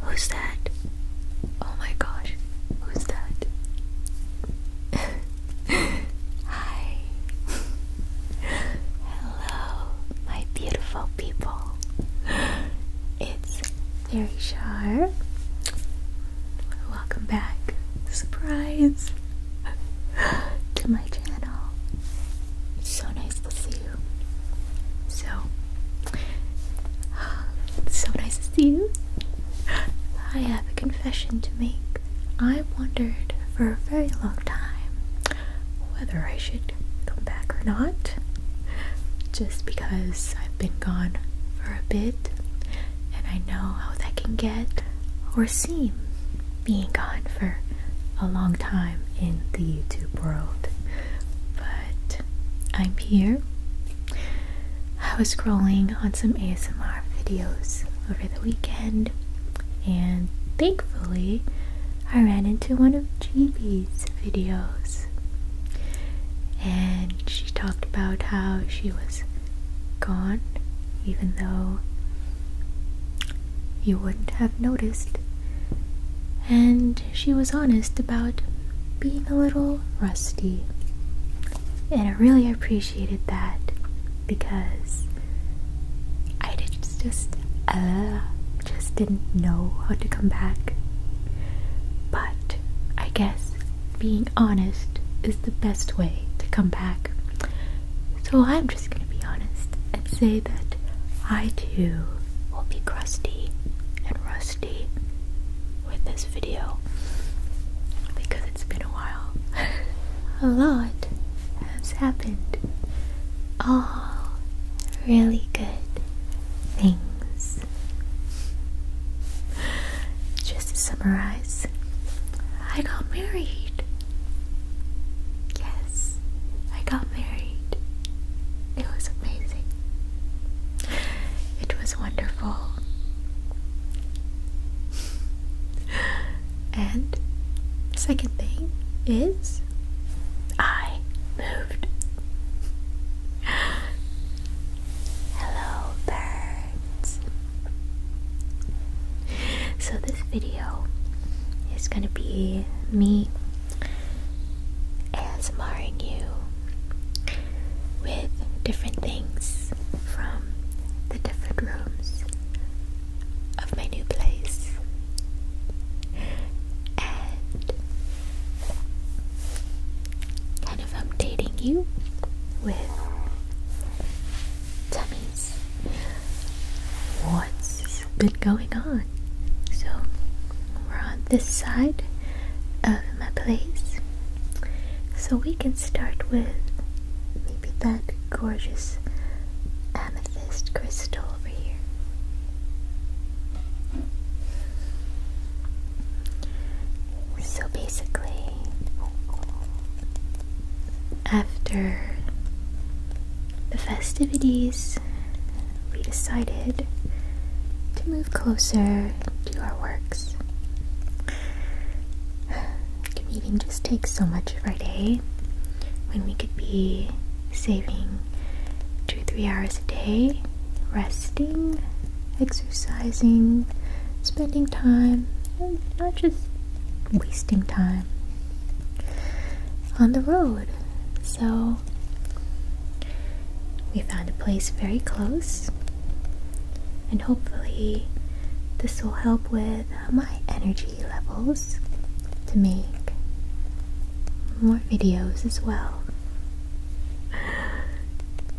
Who's that? Oh my gosh, who's that? Hi. Hello, my beautiful people. It's very sharp. Welcome back. Surprise to my channel. so nice to see so, so nice to see you. I have a confession to make. I wondered for a very long time whether I should come back or not. Just because I've been gone for a bit, and I know how that can get or seem being gone for a long time in the YouTube world. But but I'm here. I was scrolling on some ASMR videos over the weekend, and thankfully, I ran into one of Jeebee's videos. And she talked about how she was gone, even though you wouldn't have noticed. And she was honest about being a little rusty. And I really appreciated that because I did just uh, just didn't know how to come back. But I guess being honest is the best way to come back. So I'm just gonna be honest and say that I too will be crusty and rusty with this video because it's been a while. a lot has happened. All really good things. Just to summarize, I got married. Yes, I got married. It was amazing. It was wonderful. and second thing is I moved. Hello, birds. So, this video is going to be me ASMRing you with different things from the different rooms of my new place. And kind of updating you with tummies, warts, been going on. So we're on this side of my place. So we can start with maybe that gorgeous amethyst crystal over here. So basically, after the festivities we decided to move closer to our works. Commuting just takes so much of our day when we could be saving two, three hours a day, resting, exercising, spending time, not just wasting time on the road. So we found a place very close, and hopefully, this will help with uh, my energy levels to make more videos as well.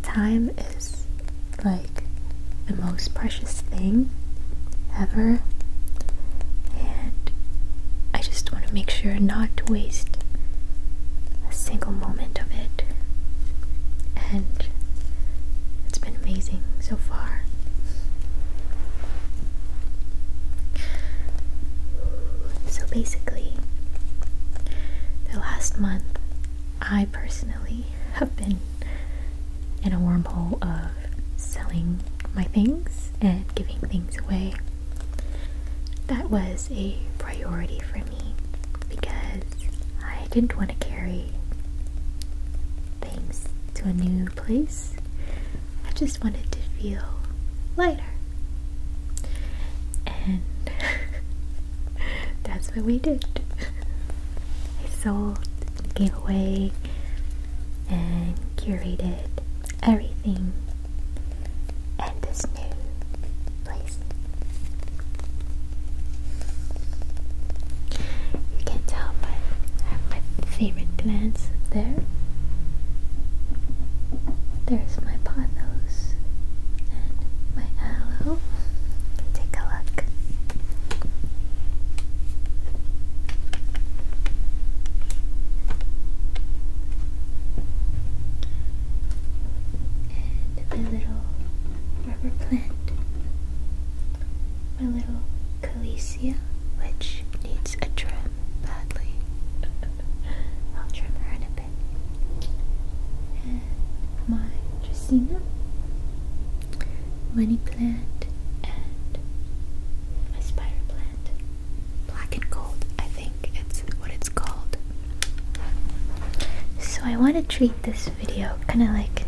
Time is like the most precious thing ever, and I just want to make sure not to waste a single moment of it. And it's been amazing so far. So basically, the last month, I personally have been in a wormhole of selling my things and giving things away. That was a priority for me because I didn't want to carry things to a new place. I just wanted to feel lighter. And that's what we did. I sold, gave away, and curated everything and this new place. You can tell my I have my favorite plants there. There's my pothos and my aloe. Take a look. And my little rubber plant. My little Calicia, which needs a trim badly. I'll trim her in a bit. And my Dracaena, money plant, and my spider plant. Black and Gold, I think it's what it's called. So I want to treat this video kind of like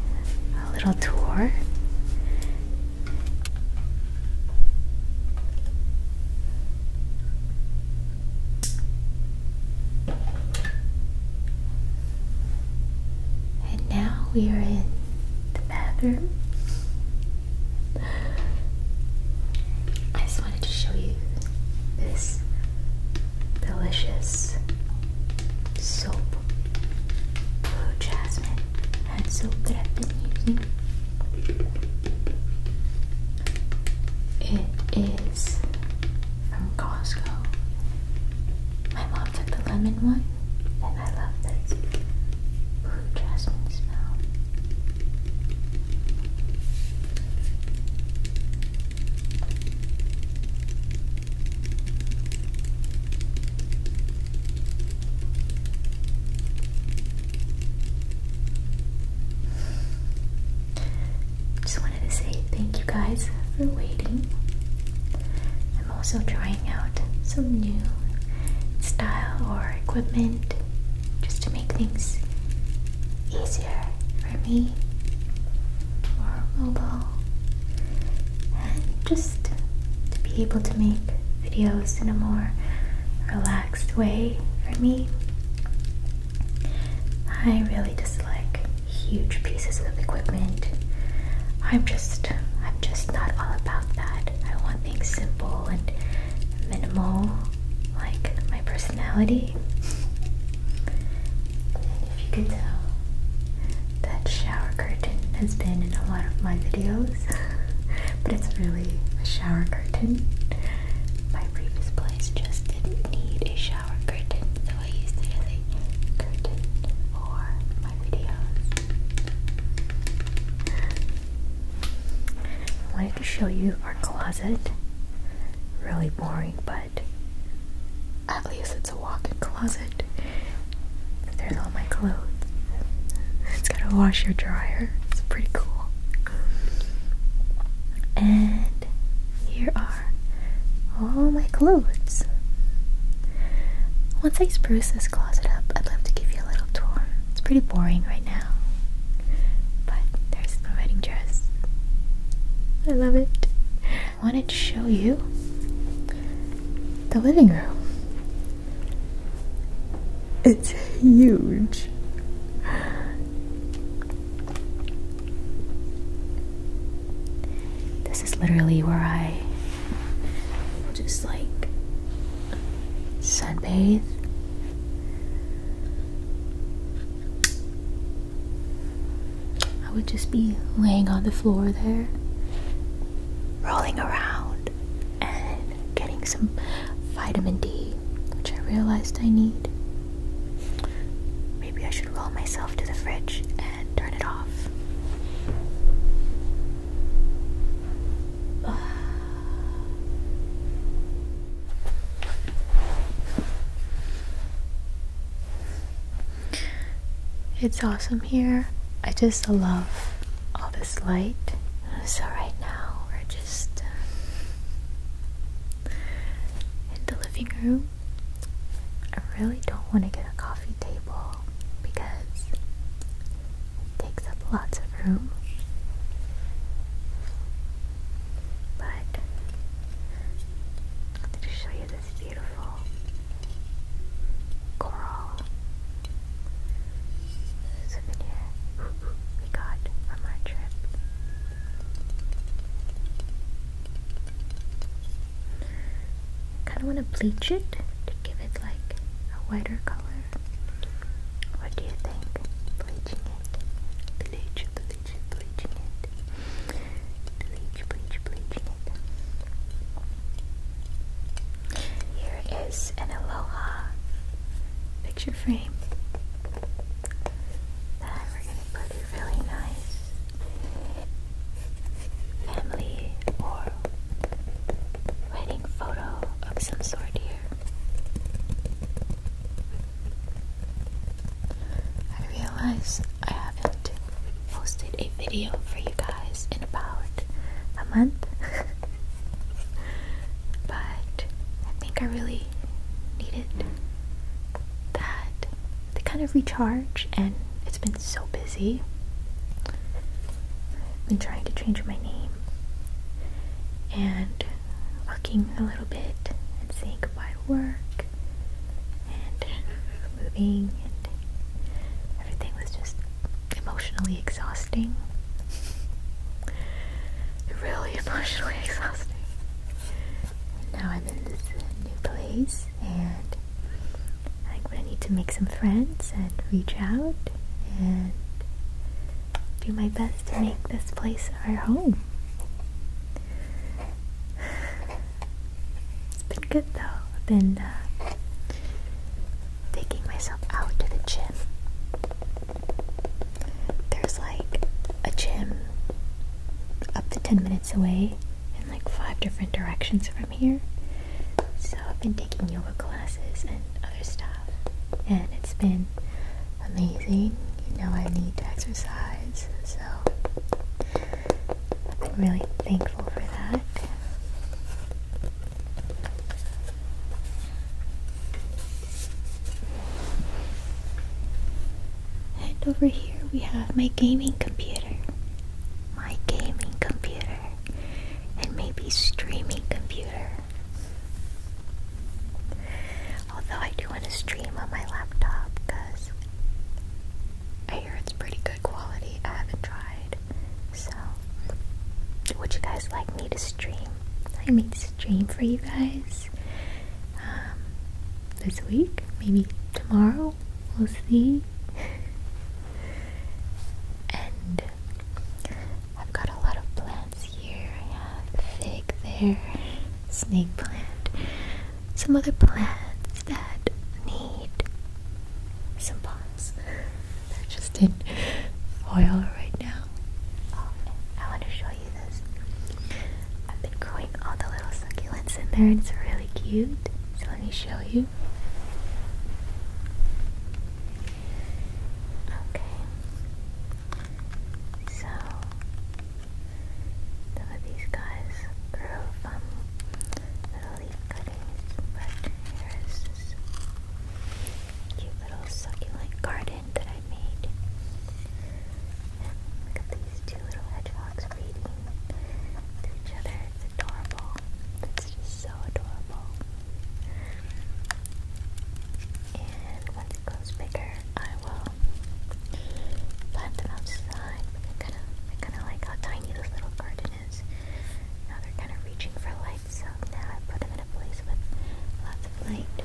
a little tour. And now we are in the bathroom. I just wanted to show you this delicious soap blue jasmine hand soap that I've been using. It is from Costco. My mom took the lemon one, and I love this just wanted to say thank you guys for waiting. I'm also trying out some new style or equipment just to make things easier for me, more mobile, and just to be able to make videos in a more relaxed way for me. I really dislike huge pieces of equipment. I'm just I'm just not all about that. I want things simple and minimal like my personality. And if you can tell, that shower curtain has been in a lot of my videos, but it's really a shower curtain. My previous place just didn't need a shower curtain, so I used it as curtain for my videos. My to show you our closet. Really boring, but at least it's a walk-in closet. There's all my clothes. It's got a washer dryer. It's pretty cool. And here are all my clothes. Once I spruce this closet up, I'd love to give you a little tour. It's pretty boring right now, but there's the wedding dress. I love it. I wanted to show you the living room. It's huge. This is literally where I just like sunbathe I would just be laying on the floor there, rolling around, and getting some vitamin D, which I realized I need. Maybe I should roll myself to the fridge and turn it off. It's awesome here. I just love all this light. So right now we're just uh, in the living room. I really don't want to get a coffee table because takes up lots of room. But I'm going to show you this beautiful coral souvenir we got from our trip. kind of want to bleach it to give it like a whiter color. What do you think? Here is an Aloha picture frame that we're going to put a really nice family or wedding photo of some sort here. I realize I haven't posted a video for you guys in about a month, but I think I really needed that to kind of recharge, and it's been so busy. I've been trying to change my name and working a little bit and saying goodbye to work and moving and everything was just emotionally exhausting. really emotionally exhausting. And now I'm in this new place and I'm gonna need to make some friends and reach out and do my best to make this place our home. It's been good though. I've been uh, taking myself out to the gym. There's like a gym up to 10 minutes away in like five different directions from here. So I've been taking yoga classes and other stuff, and it's been amazing. You know, I need to exercise, so i am really thankful for that. And over here we have my gaming computer. My gaming computer. And maybe streaming computer. Although I do want to stream on my laptop because I hear it's pretty good quality. I haven't tried. So, would you guys like me to stream? I made stream for you guys um, this week, maybe tomorrow. We'll see. and I've got a lot of plans plants here. I have fig there, snake plant, some other plants that need some pots. they just in oil right now. Oh, I want to show you this. I've been growing all the little succulents in there, and it's really cute. So let me show you. Okay. So some of these guys grew from little leaf cuttings, but here is cute little succulent garden that I made. look at these two little hedgehogs feeding to each other. It's adorable. It's so adorable. And once it grows bigger, I will plant them outside. I kind of, I kind of like how tiny this little garden is. Now they're kind of reaching for light, so now I put them in a place with lots of light.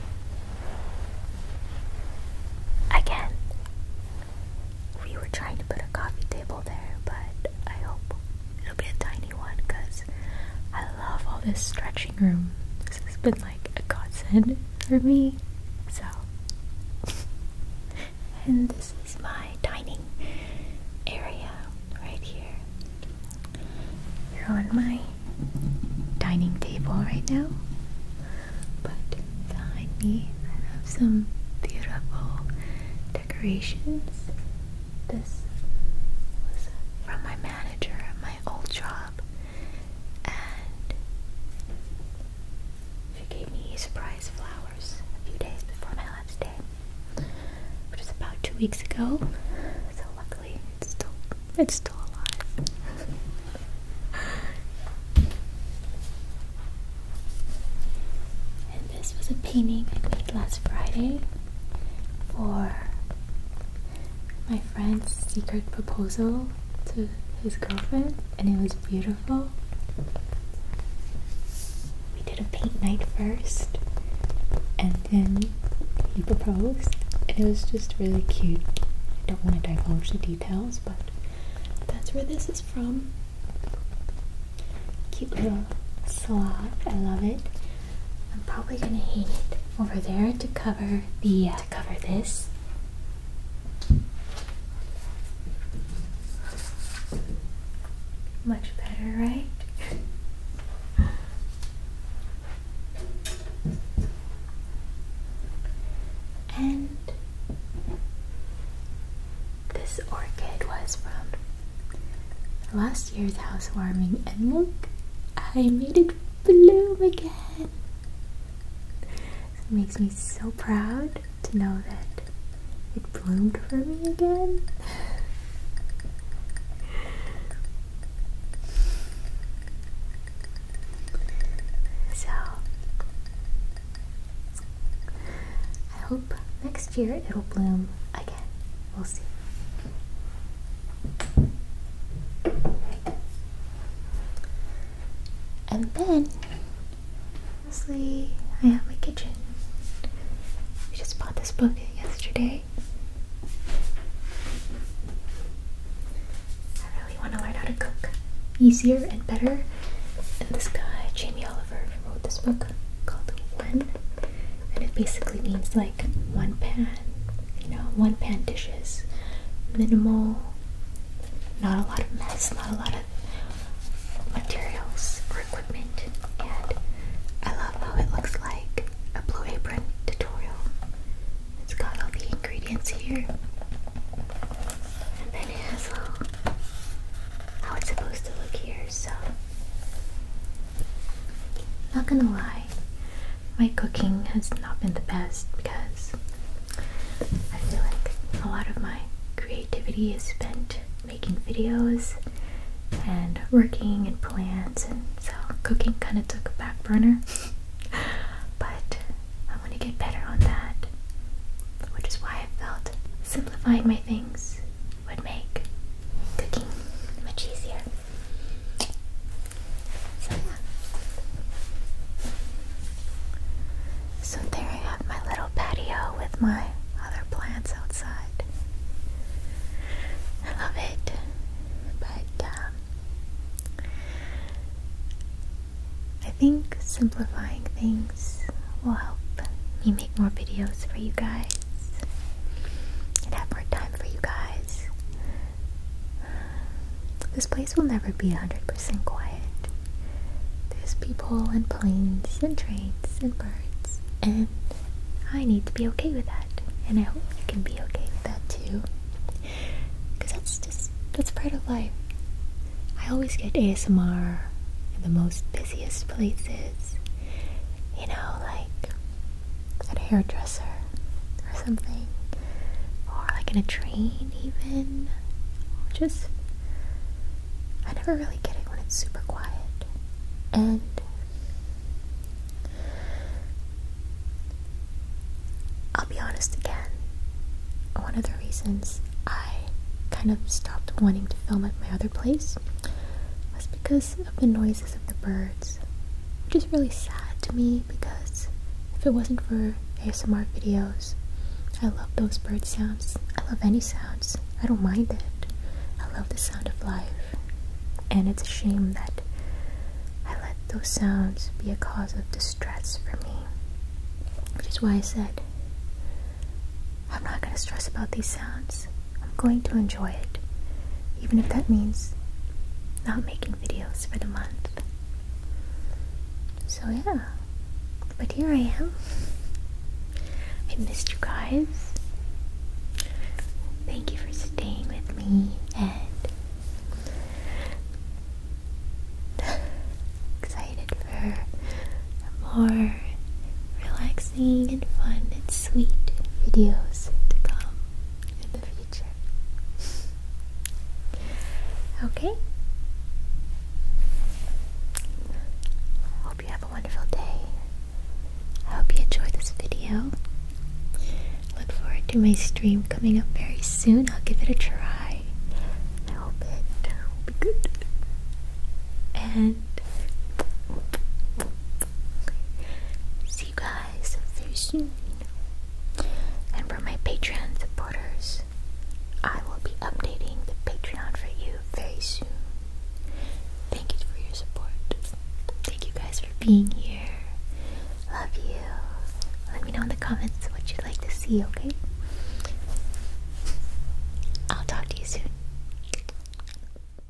Again, we were trying to put a coffee table there, but I hope it'll be a tiny because I love all this stretching room. This has been like a godsend for me. So, and this is my dining area right here. You're on my dining table right now, but behind me I have some beautiful decorations. This was from my mat my old job, and she gave me surprise flowers a few days before my last day, which was about two weeks ago. So luckily, it's still it's still alive. and this was a painting I made last Friday for my friend's secret proposal to his girlfriend, and it was beautiful. We did a paint night first, and then he proposed, and it was just really cute. I don't want to divulge the details, but that's where this is from. Cute little slot, I love it. I'm probably gonna hang it over there to cover the uh, to cover this. Much better, right? and this orchid was from Las year's housewarming, and look, I made it bloom again. It makes me so proud to know that it bloomed for me again. So, I hope next year it'll bloom again. We'll see. And then, lastly, I have my kitchen. I just bought this book yesterday. I really want to learn how to cook easier and better. And this guy, Jamie Oliver, wrote this book called One. And it basically means like one pan you know, one pan dishes, minimal, not a lot of mess, not a lot of materials or equipment. And I love how it looks like a blue apron tutorial. It's got all the ingredients here. And then it has all how it's supposed to look here, so not gonna lie, my cooking has not been the best because I feel like a lot of my creativity is spent making videos and working and plants and so cooking kind of took a back burner but I want to get better on that which is why I felt simplifying my things would make cooking much easier so yeah. So there I have my little patio with my other plants outside. I love it. But um, I think simplifying things will help me make more videos for you guys and have more time for you guys. This place will never be 100% quiet. There's people and planes and trains and birds, and I need to be okay with that. And I hope you can be okay with that too. Because that's just, that's part of life. I always get ASMR in the most busiest places you know, like at a hairdresser or something, or like in a train, even. Just, I never really get it when it's super quiet. And I'll be honest again, one of the reasons I kind of stopped wanting to film at my other place was because of the noises of the birds, which is really sad to me because if it wasn't for ASMR videos, I love those bird sounds. I love any sounds. I don't mind it. I love the sound of life. And it's a shame that I let those sounds be a cause of distress for me. Which is why I said, I'm not going to stress about these sounds. I'm going to enjoy it, even if that means not making videos for the month. So, yeah. But here I am. I missed you guys. Thank you for staying with me and excited for more relaxed and fun and sweet videos to come in the future. Okay? Hope you have a wonderful day. I hope you enjoyed this video. Look forward to my stream coming up very soon. I'll give it a try. I hope it will be good. And see you guys very soon. And for my Patreon supporters, I will be updating the Patreon for you very soon. Thank you for your support. Thank you guys for being here. Love you. Let me know in the comments what you'd like to see, okay? I'll talk to you soon.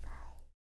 Bye.